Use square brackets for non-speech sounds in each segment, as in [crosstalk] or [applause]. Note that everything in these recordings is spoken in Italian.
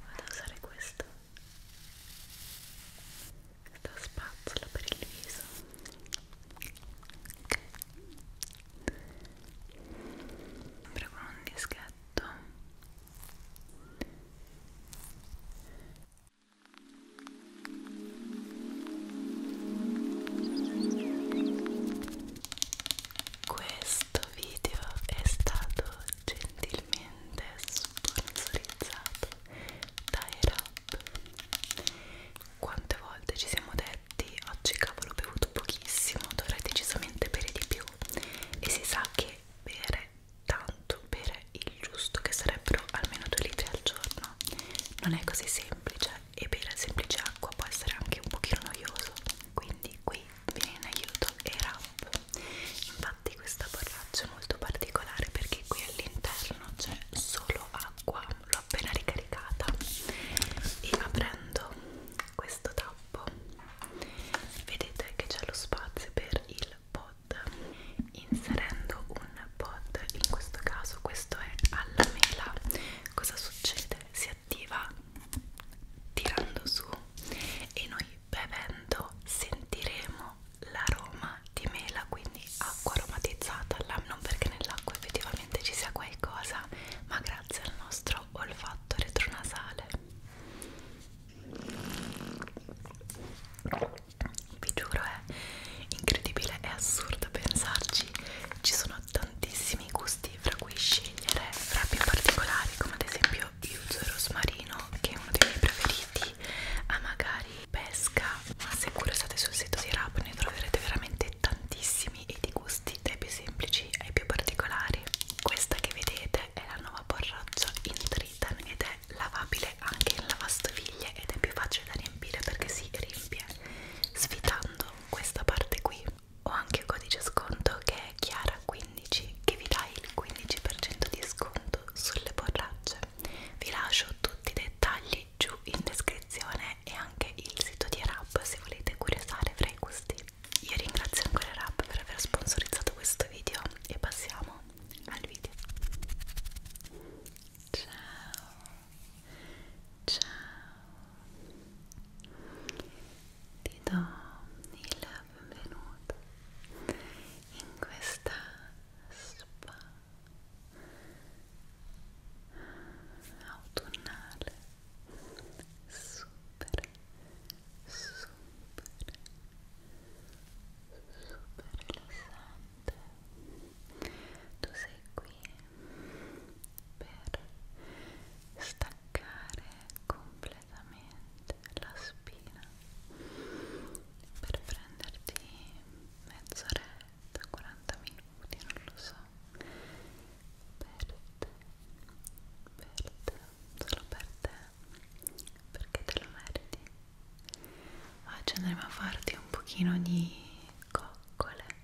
Vado a usare questo questa spazzola per il viso sempre con un dischetto questo video è stato gentilmente sponsorizzato da Erap. Quante volte ci siamo detti oggi cavolo ho bevuto pochissimo, dovrei decisamente bere di più e si sa che bere tanto, bere il giusto che sarebbero almeno 2 litri al giorno non è così semplice e bere semplice acqua può essere anche un pochino noioso quindi qui viene in aiuto e ramp infatti questa borraccia è molto particolare perché qui all'interno c'è solo acqua l'ho appena ricaricata e aprendo questo tappo vedete che c'è lo spazio per il pod inserendo un pod in questo caso questo è alla mela cosa succede? si attiva tirando su e noi bevendo sentiremo l'aroma di mela quindi acqua aromatizzata non perché nell'acqua effettivamente ci sia qualcosa ma grazie al nostro olfatto retronasale vi giuro è incredibile è assurdo pensarci ci sono tantissimi gusti questi fra cui scegliere frappi particolari come ad esempio io uso il rosmarino che è uno dei miei preferiti a magari pesca ma se curiosate sul sito di Rap ne troverete veramente tantissimi e di gusti dai più semplici ai più particolari questa che vedete è la nuova borraccia in Tritan ed è lavabile anche in lavastoviglie ed è più facile da riempire perché si riempie sfidando questa parte qui ho anche il codice sconto che è Chiara15 che vi dà il 15% di sconto sulle borracce vi lascio tutti i dettagli giù in descrizione e anche il sito di Erap se volete curiosare fra i gusti io ringrazio ancora Erap per aver sponsorizzato questo video e passiamo al video ciao ciao ti do il benvenuto in questa spa autunnale super super super rilassante tu sei qui per staccare completamente la spina per prenderti mezz'oretta, 40 minuti, non lo so per te, per te, solo per te perché te lo meriti oggi andremo a farti un pochino di coccole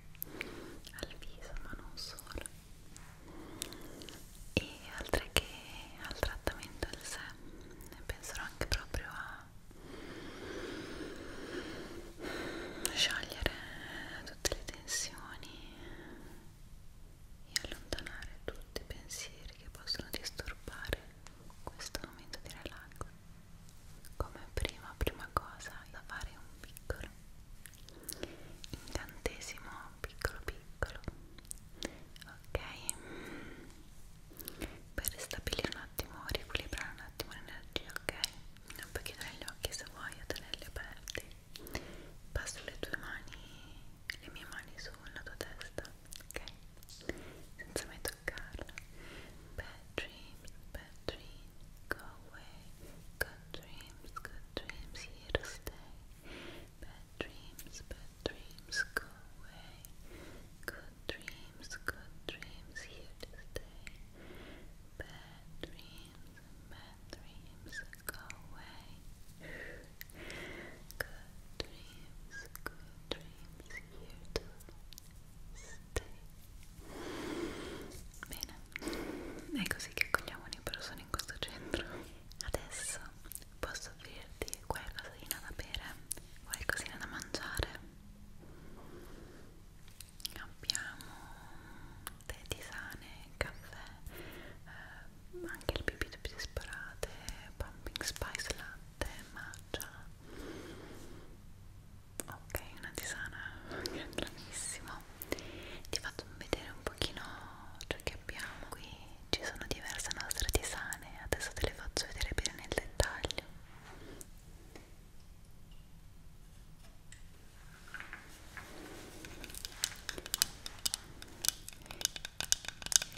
al viso ma non solo e oltre che al trattamento del sé penserò anche proprio a sciogliere tutte le tensioni e allontanare tutti i pensieri che possono disturbare questo momento di relax come prima prima cosa da fare un piccolo incantesimo piccolo piccolo ok per ristabilire un attimo riequilibrare un attimo l'energia ok non puoi chiudere gli occhi se vuoi o tenerli aperti passo le tue mani le mie mani sulla tua testa ok senza mai toccarla bad dreams bad dreams go away go dreams, good dreams here to stay. Bad dreams, bad dreams go away. Good dreams, good dreams here to stay. Bad dreams, bad dreams go away. Good dreams, good dreams here to stay. Bene, è così che accogliamo le persone in questo centro. Adesso posso offrirti qualcosina da bere, qualcosina da mangiare. Abbiamo tè, tisane, caffè, eh, anche il bibite più disparate, pumping spice latte, matcha. Ok, una tisana, bravissimo ti faccio vedere un pochino ciò che abbiamo qui ci sono diverse nostre tisane adesso te le faccio vedere bene nel dettaglio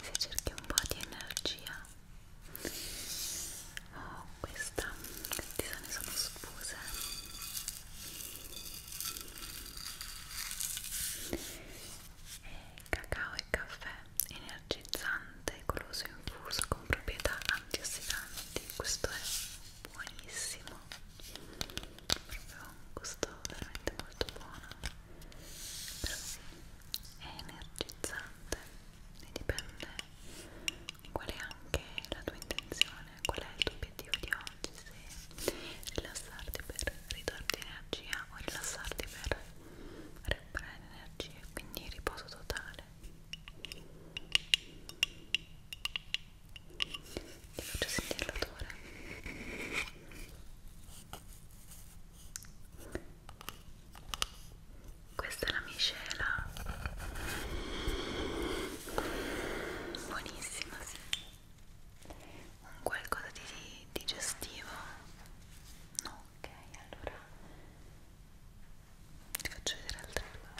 se cerchi un po' di energia oh questa queste tisane sono spuse eh, cacao e caffè energizzante, goloso infuso con proprietà antiossidanti. Questo è buonissimo, proprio un gusto veramente molto buono. Però sì, è energizzante e dipende qual è anche la tua intenzione, qual è il tuo obiettivo di oggi, se rilassarti per ridarti energia o rilassarti per recuperare energie, quindi riposo totale. Ti faccio sentire l'odore. Questa è la miscela buonissima bellissima, sì. Un qualcosa di digestivo? No, ok, allora ti faccio vedere altre due.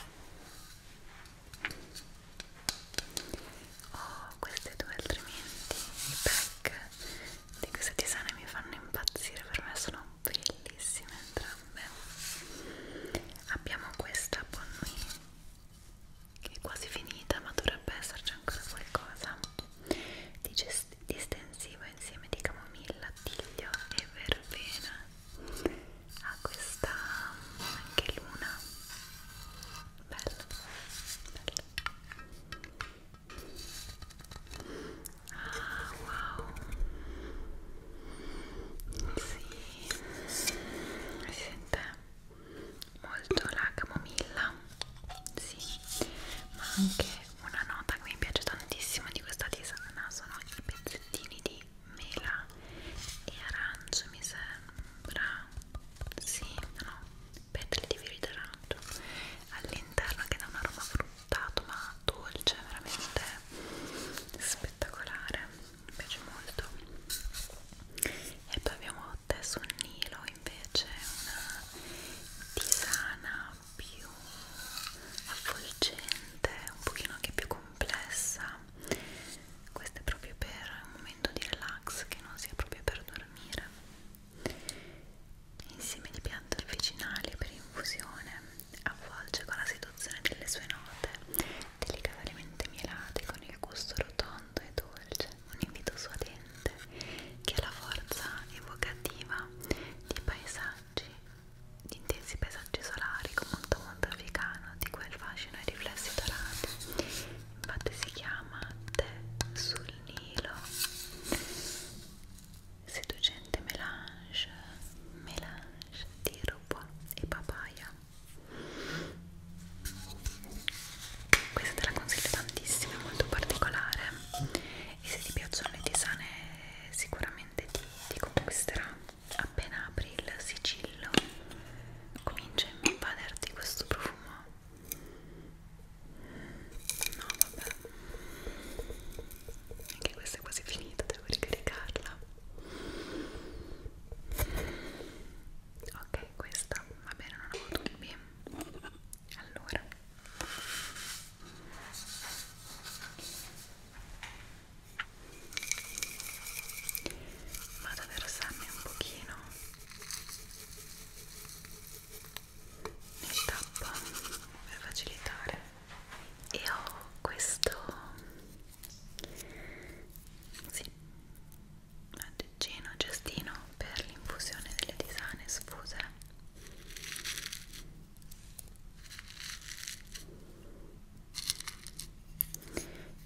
Oh, queste due altrimenti, i pack di queste tisane mi fanno impazzire, per me sono bellissime entrambe. Abbiamo questa Bonnuit che è quasi finita ma dovrebbe esserci ancora qualcosa distensivo insieme di camomilla, tiglio e verbena ha questa anche luna bello, bello ah wow sì si sente molto la camomilla sì, ma anche una nota che mi piace tantissimo di questa tisana sono i pezzettini di mela e arancio mi sembra sì, no, petali di fiori d'arancio all'interno che dà un aroma fruttato ma dolce, veramente spettacolare mi piace molto e poi abbiamo Tesso Nilo invece una tisana più avvolgente un pochino anche più complessa questa è proprio per un momento di relax che non sia proprio per dormire insieme di piante artificiali per infusione avvolge con la situazione delle sue note delicatamente mielate con il il gusto rotondo e dolce, un invito suadente che ha la forza evocativa di paesaggi, di intensi paesaggi solari con molto mondo africano, di quel fascino e riflessi dorati. Infatti si chiama Te sul Nilo, seducente melange, melange di rubo e papaya questa te la consiglio tantissimo, è molto particolare e se ti piacciono le tisane sicuramente ti, ti conquisterà appena apri il sigillo comincia a invaderti questo profumo no vabbè anche questa è quasi finita, devo ricaricarla ok questa va bene non ho avuto dubbi allora vado ad versarmi un pochino nel tappo per facilitare e ho questo sì, aggeggino, cestino per l'infusione delle tisane sfuse.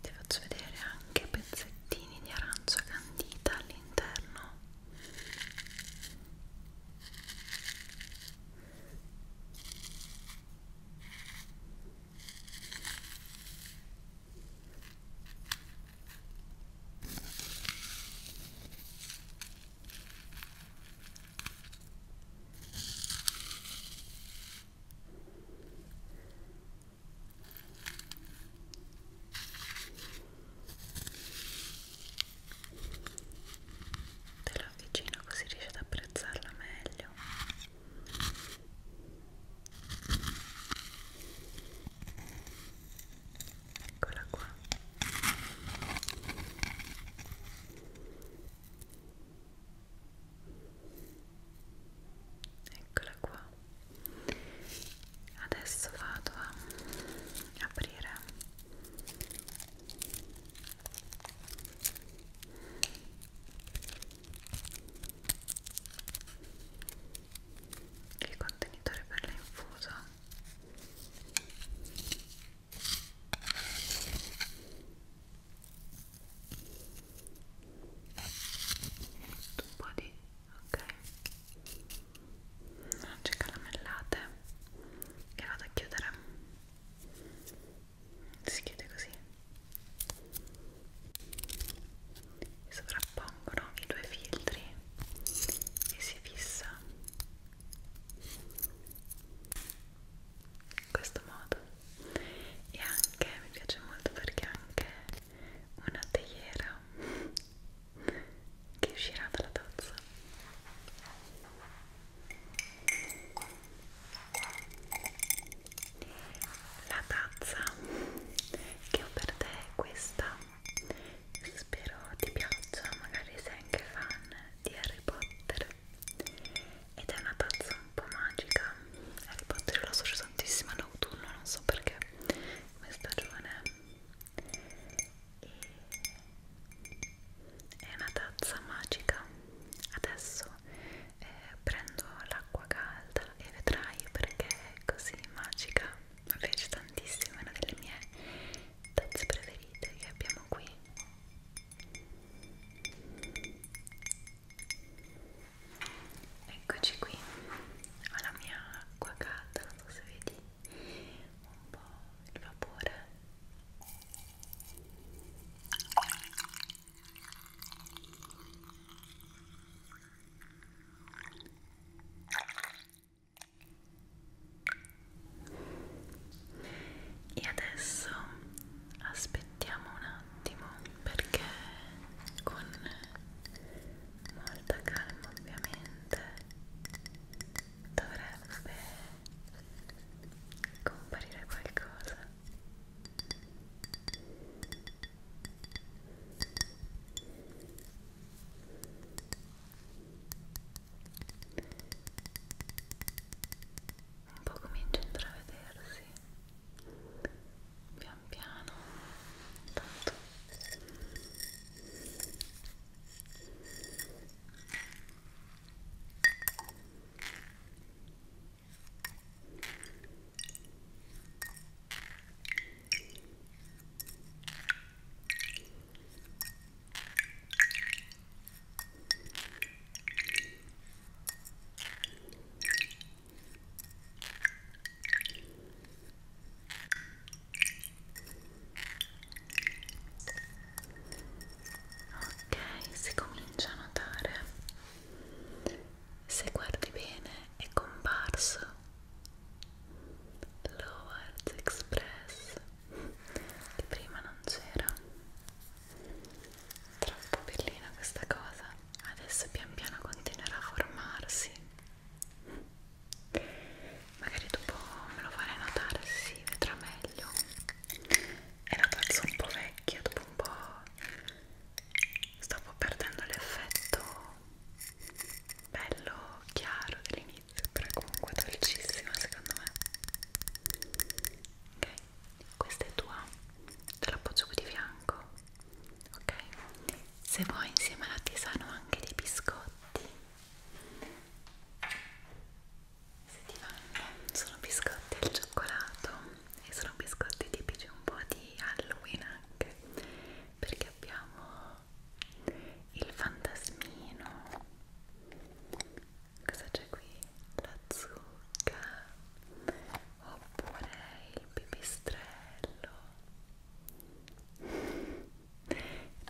Ti faccio vedere anche pezzettini di arancia candita all'interno te la avvicino così riesci ad apprezzarla meglio Eccola qua. Eccola qua. Adesso vado a aprire il contenitore per l'infuso un po' di ok noce caramellate e vado a chiudere si chiude così sovrappongono i due filtri e si fissa in questo modo e anche mi piace molto perché anche una teiera che uscirà dalla tazza la tazza che ho per te è questa spero ti piaccia magari sei anche fan di Harry Potter ed è una tazza un po' magica Harry Potter l'ho associo tantissimo all'autunno non so perché come stagione e è una tazza magica adesso adesso eh, prendo l'acqua calda e vedrai perché è così magica mi piace tantissimo, è una delle mie tazze preferite che abbiamo qui eccoci qui ho la mia acqua calda, non so se vedi un po' il vapore e adesso aspettiamo un attimo perché con molta calma ovviamente dovrebbe comparire qualcosa un po' comincia a intravedersi pian piano tanto Ecco Ok, si comincia a notare se guardi bene è comparso Lowers Express che prima non c'era troppo bellina questa cosa adesso pian piano continuerà a formarsi magari dopo me lo farei notare si sì, vedrà meglio è una tazza un po' vecchia dopo un po' stavo perdendo l'effetto bello chiaro dell'inizio però comunque dolcissima secondo me ok questa è tua te l'appoggio qui di fianco ok se vuoi insieme alla tisana anche dei biscotti se ti vanno sono biscotti al cioccolato e sono biscotti tipici un po' di Halloween anche perché abbiamo il fantasmino cosa c'è qui? la zucca oppure il pipistrello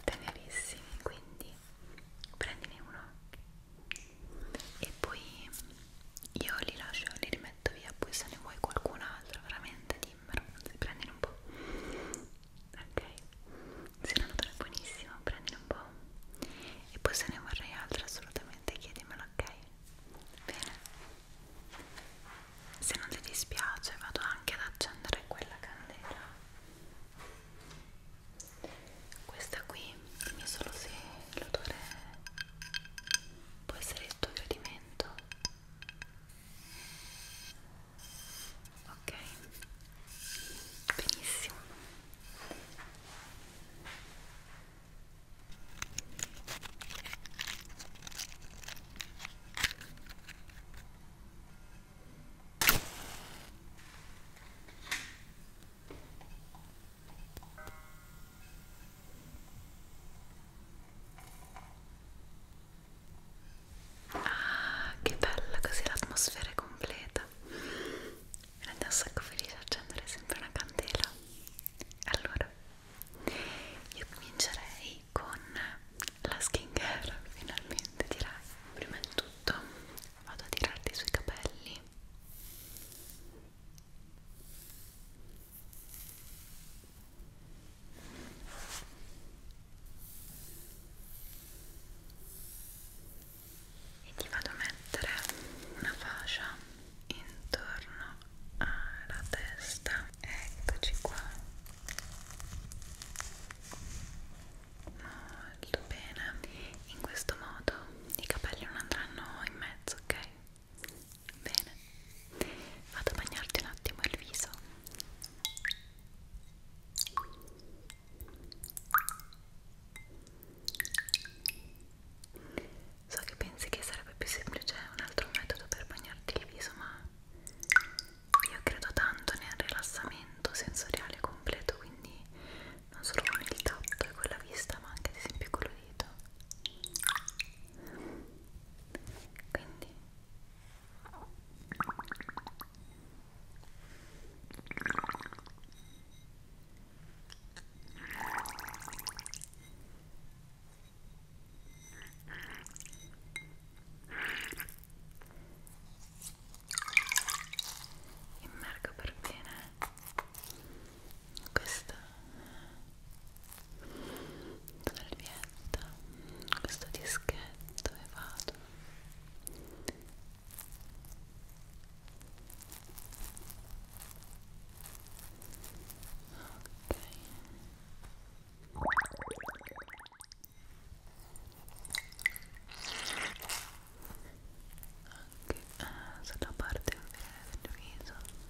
tenerissimi quindi prendine uno e poi io li lascio, li rimetto metto via poi se ne vuoi qualcun altro veramente dimmelo prendine un po' ok se non è buonissimo prendine un po' e poi se ne vorrei altro assolutamente chiedimelo ok bene se non ti dispiace vado anche ad accendere quella candela questa qui dimmi solo se l'odore può essere il tuo gradimento ok benissimo Ah, che bella così l'atmosfera è completa. Mi rende un sacco felice accendere sempre una candela. Allora, io comincerei con la skincare, finalmente direi. Prima di tutto vado a tirarti sui capelli e ti vado a mettere una fascia intorno alla testa eccoci qua molto bene in questo modo i capelli non andranno in mezzo ok Bene, vado a bagnarti un attimo il viso. So che pensi che sarebbe più semplice un altro metodo per bagnarti il viso, ma io credo tanto nel rilassamento sensoriale completo, quindi non solo con il tatto e con la vista, ma anche ad esempio con l'udito quindi immergo per bene questa salvietta, questo dischetto e vado ok anche eh, sulla parte inferiore del viso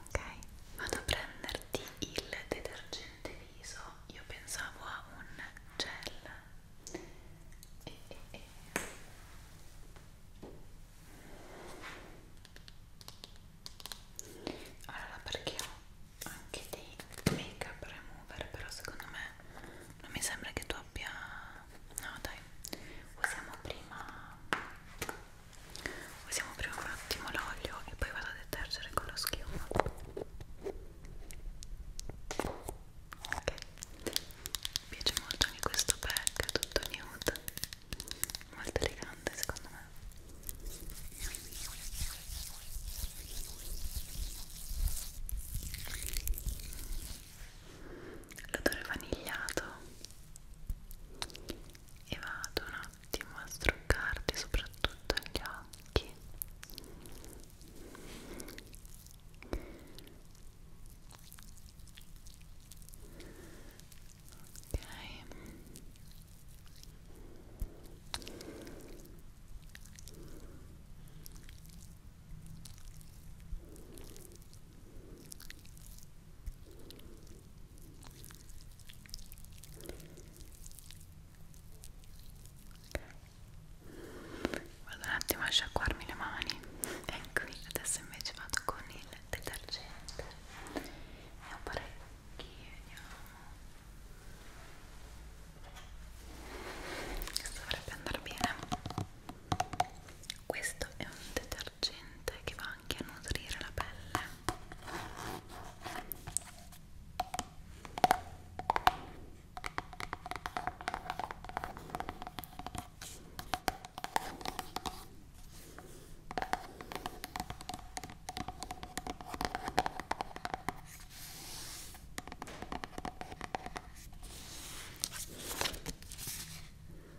ok vado a prenderti il detergente viso io pensavo a un gel e, e, e. allora perché ho anche dei make up remover però secondo me non mi sembra che tu abbia no dai usiamo prima usiamo prima un attimo l'olio e poi vado a detergere con lo schiuma ok mi piace molto anche questo pack tutto nude molto elegante secondo me l'odore vanigliato e vado un attimo a struccarti soprattutto gli occhi ok ok Vado un attimo a sciacquarmi le mani. Ecco, adesso invece vado con il detergente. E un parecchi, vediamo. Questo dovrebbe andare bene. Questo è un detergente detergente che va anche a nutrire la pelle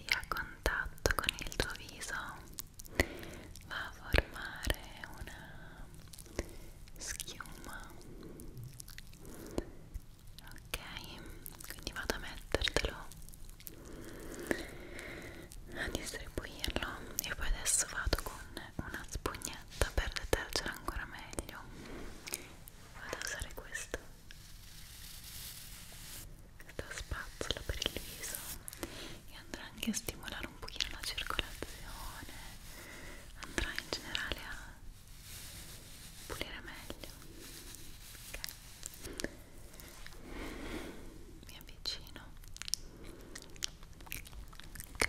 e a contatto con il tuo viso va a formare una schiuma ok quindi vado a mettertelo a distribuirlo e poi adesso vado con una spugnetta per detergere ancora meglio vado a usare questo questa spazzola per il viso e andrà anche a stimolare un pochino la circolazione andrà in generale a pulire meglio ok mi avvicino ok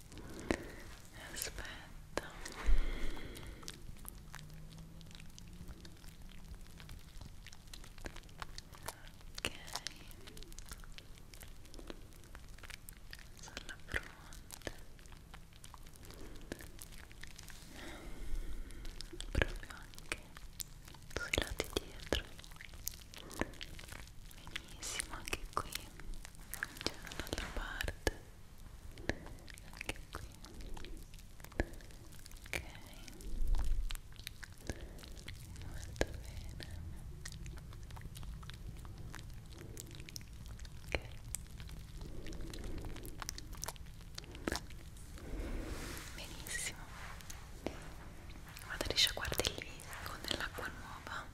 aspetta ok sulla fronte proprio anche sui lati dietro vediamo benissimo anche qui c'è un'altra parte anche qui ok molto bene ok benissimo guarda riesci a guardare lì con dell'acqua nuova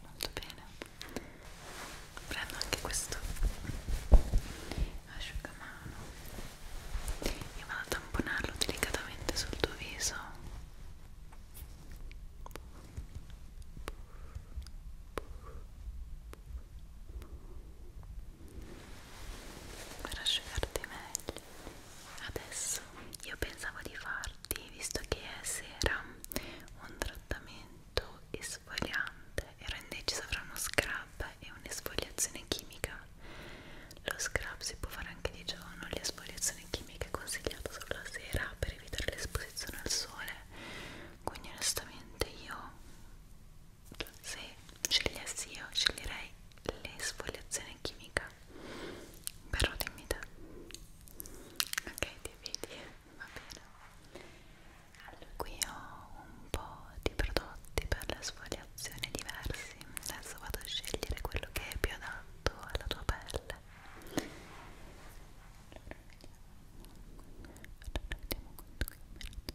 molto bene prendo anche questo asciugamano e vado a tamponarlo delicatamente sul tuo viso per asciugarti meglio adesso io pensavo di farti visto che è sera un trattamento esfoliante ero indecisa fra uno scrub e un'esfoliazione chimica lo scrub si può fare anche di giorno l'esfoliazione chimica è consigliata solo la sera per evitare l'esposizione al sole quindi onestamente io se scegliessi io sceglierei l'esfoliazione chimica però dimmi te ok ti vedi va bene allora qui ho un po' di prodotti per l'esfoliazione diversi adesso vado a scegliere quello che è più adatto alla tua pelle allora vediamo allora vediamo questo qui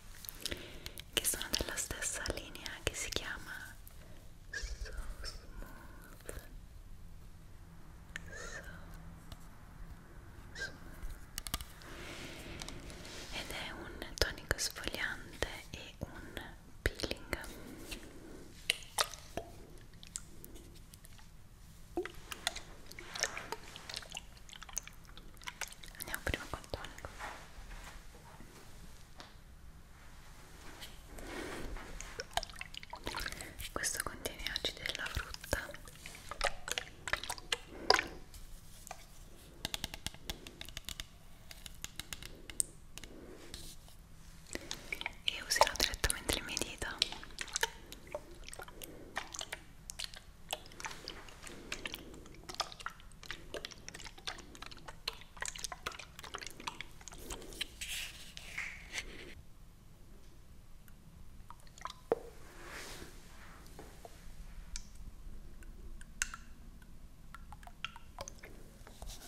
che sono della stessa linea che si chiama So Smooth So Smooth ed è un tonico sfogliante e un peeling andiamo prima col tonico questo contiene acidi della frutta e userò direttamente le mie dita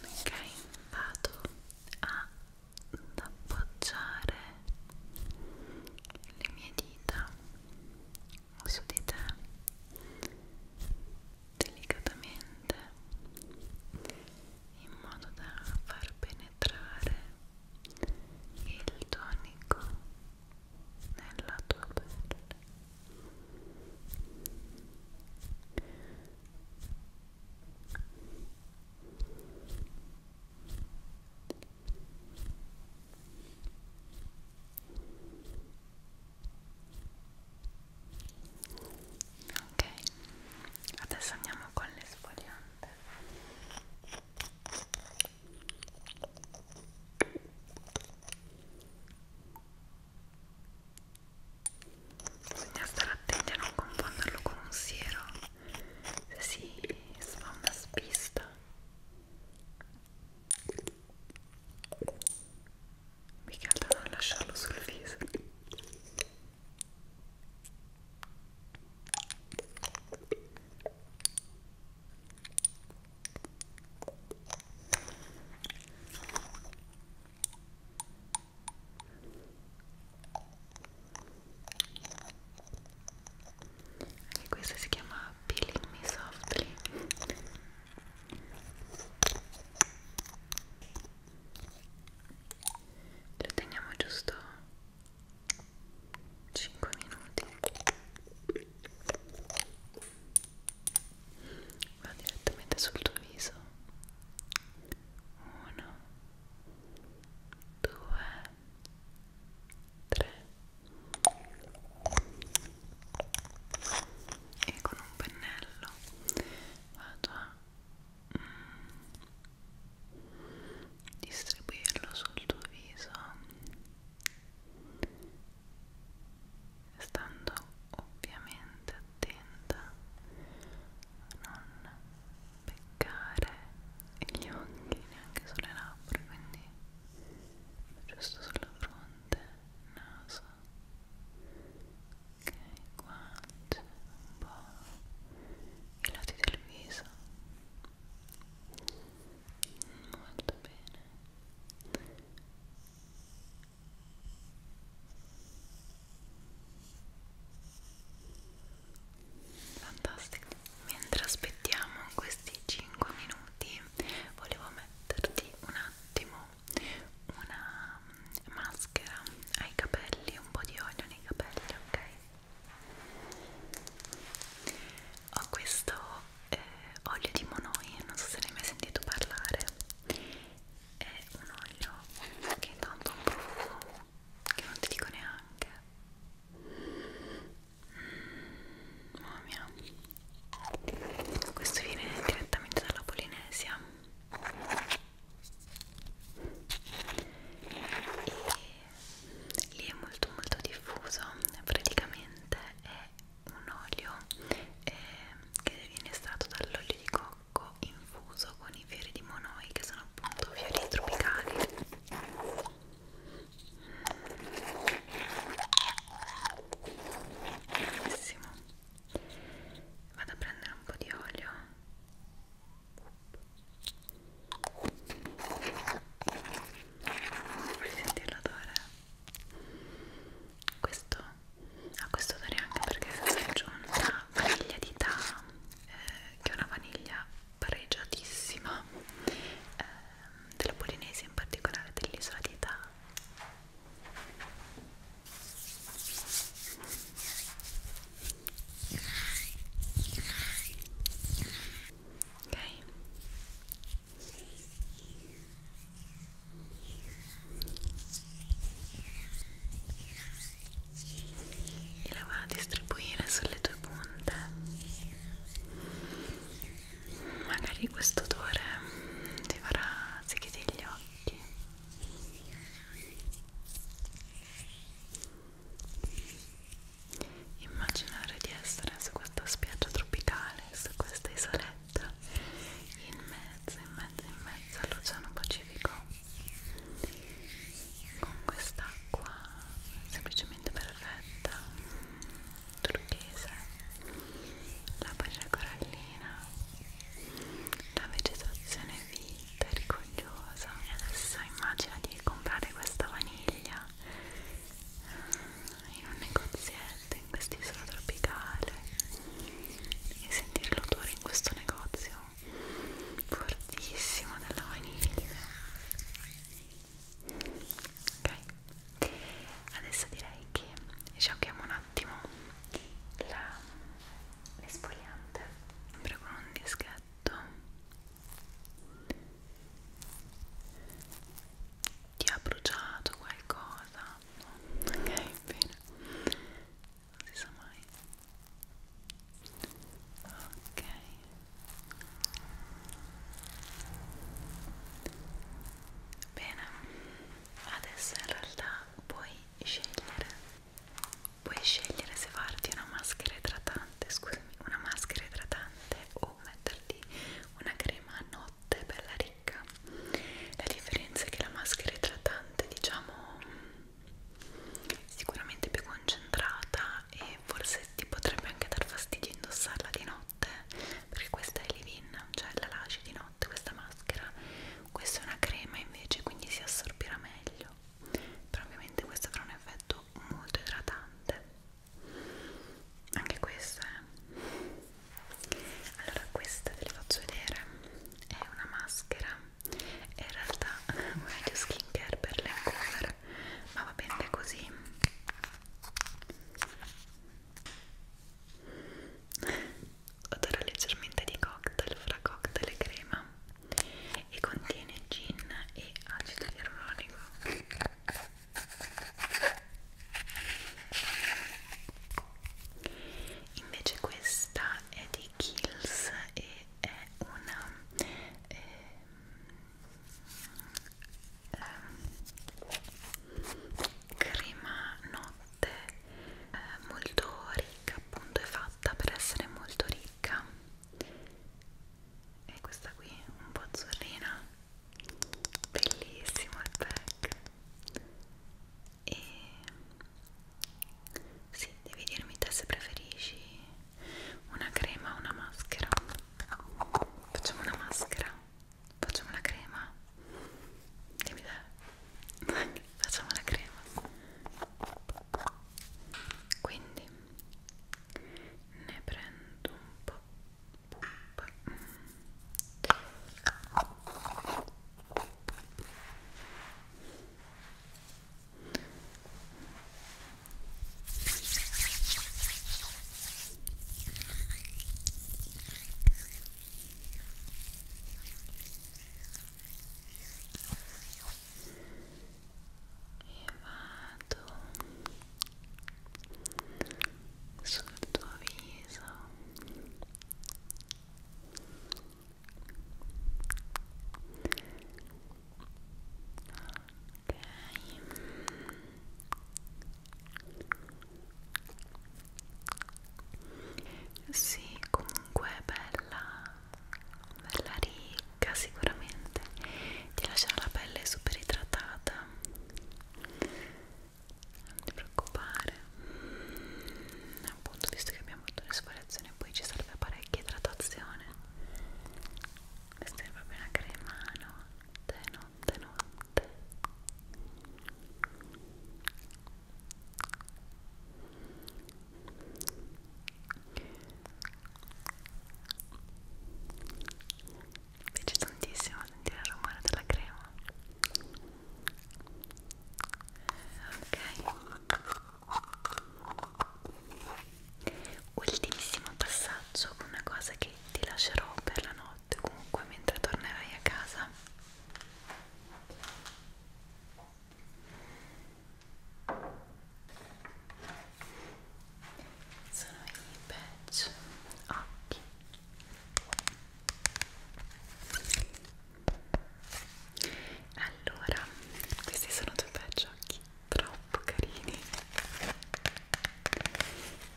Ok, vado ad appoggiare le mie dita su di te delicatamente in modo da far penetrare il tonico nella tua pelle Ora ok adesso andiamo con l'esfoliante bisogna stare attenti a non confonderlo con un siero se si sfonda spista mica da non lasciarlo sul viso anche questo si chiama Peeling Me Softly lo teniamo giusto 5 minuti va direttamente sul tuo viso 1 2 3 e con un pennello vado a mm, distribuirlo sul tuo viso stando ovviamente attenta a non peccare gli occhi neanche sulle labbra quindi giusto sulla fronte naso ok, guance un po' i lati del viso molto bene fantastico mentre aspettiamo questi 5 minuti volevo metterti una attimo una maschera ai capelli, un po' di olio nei capelli, ok? Ho questo eh, olio di Monoi, non so se ne hai mai sentito parlare. È un olio che tanto un profumo che non ti dico neanche. Mm, mamma mia questo viene direttamente dalla Polinesia e lì è molto molto diffuso praticamente è un olio eh, che viene estratto dall'olio di cocco infuso con i fiori di monoi che sono appunto fiori tropicali benissimo vado a prendere un po' di olio vuoi sentire l'odore? questo ha questo odore anche perché si è aggiunta vaniglia di ta eh, che è una vaniglia pareggiatissima eh, della Polinesia in particolare dell'isola di Ta Okay. E la va a distribuire sulle tue punte magari questo odore ti farà sì che gli occhi immaginare di essere su questa spiaggia tropicale su questa isoletta in mezzo in mezzo in mezzo all'oceano pacifico con quest'acqua semplicemente perfetta turchese, la barriera corallina, la vegetazione fitta e rigogliosa. E adesso immagina di comprare questa vaniglia eh, in un negozietto in quest'isola tropicale e sentire l'odore in questo negozio fortissimo della vaniglia. Ok, adesso direi che giochiamo un attimo l'esfoliante sempre con un dischetto ti ha bruciato qualcosa no? ok bene non si sa mai ok bene adesso in realtà puoi scegliere puoi scegliere se farti una maschera idratante scusami una maschera idratante o metterti una crema a notte bella ricca la differenza è che la maschera idratante diciamo sicuramente più concentrata e forse ti potrebbe anche dar fastidio indossarla di notte perché questa è leave-in, cioè la lasci di notte notte questa maschera questa è una crema invece quindi si assorbirà meglio però ovviamente questo avrà un effetto molto idratante anche questa eh. allora questa ve le faccio vedere è una maschera è in realtà meglio skincare per le cover ma va bene così odora leggermente di cocktail fra cocktail e crema e contiene gin e acido ialuronico invece questa è di Kills e è una eh, eh, crema notte eh, molto ricca appunto è fatta per essere molto ricca e questa qui un po' azzurrina bellissimo il pack e sì, devi dirmi te se preferisci una crema o una maschera facciamo una maschera facciamo la crema dimmi idea [laughs] facciamo la crema quindi ne prendo un po' e vado sul tuo viso ok sì, comunque bella, bella ricca sicuramente, ti lascia la pelle super idratata, non ti preoccupare, appunto visto che abbiamo fatto l'esfoliazione poi ci serve parecchia idratazione, questa è proprio una crema, no? Te no? notte, notte. Mi piace tantissimo sentire il rumore della crema. Ok. Ultimissimo passaggio, una cosa che ti lascerò per la notte comunque mentre tornerai a casa sono i patch occhi allora questi sono due patch occhi troppo carini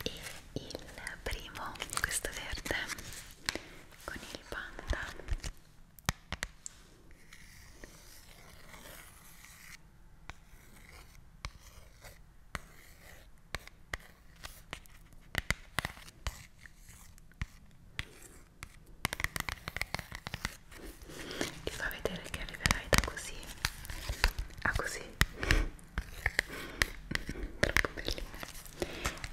e il primo questo verde con il panda ti fa vedere che arriverai da così a così troppo bellina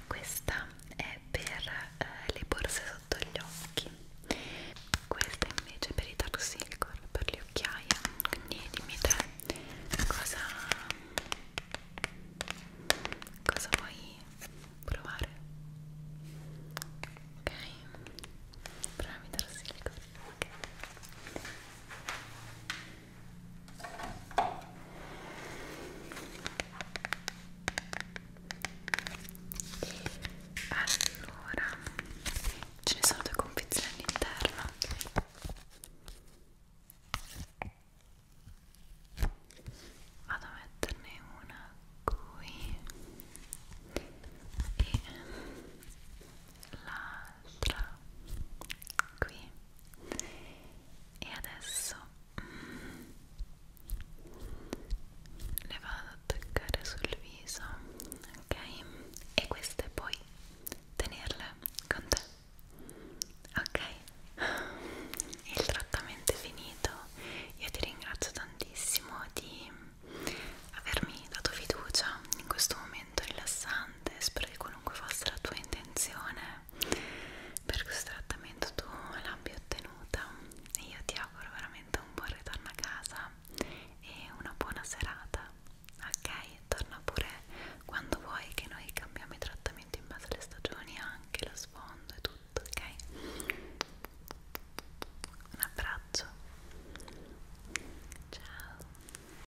questa è per eh, le borse sotto gli occhi questa invece è per i tarsilicor per le occhiaie quindi dimmi te cosa cosa vuoi provare ok proviamo i tarsilicor ok allora, ce ne sono due confezioni all'interno. Vado a metterne una qui e l'altra qui e adesso mm, le vado a toccare sul viso ok e queste poi tenerle con te ok il trattamento è finito io ti ringrazio tantissimo di avermi dato fiducia in questo momento rilassante spero che qualunque fosse la tua intenzione per questo trattamento tu l'abbia ottenuta e io ti auguro veramente un buon ritorno a casa e una buona serata ok? torna pure quando vuoi che noi cambiamo i trattamenti in base alle stagioni anche lo sfondo e tutto ok? un abbraccio ciao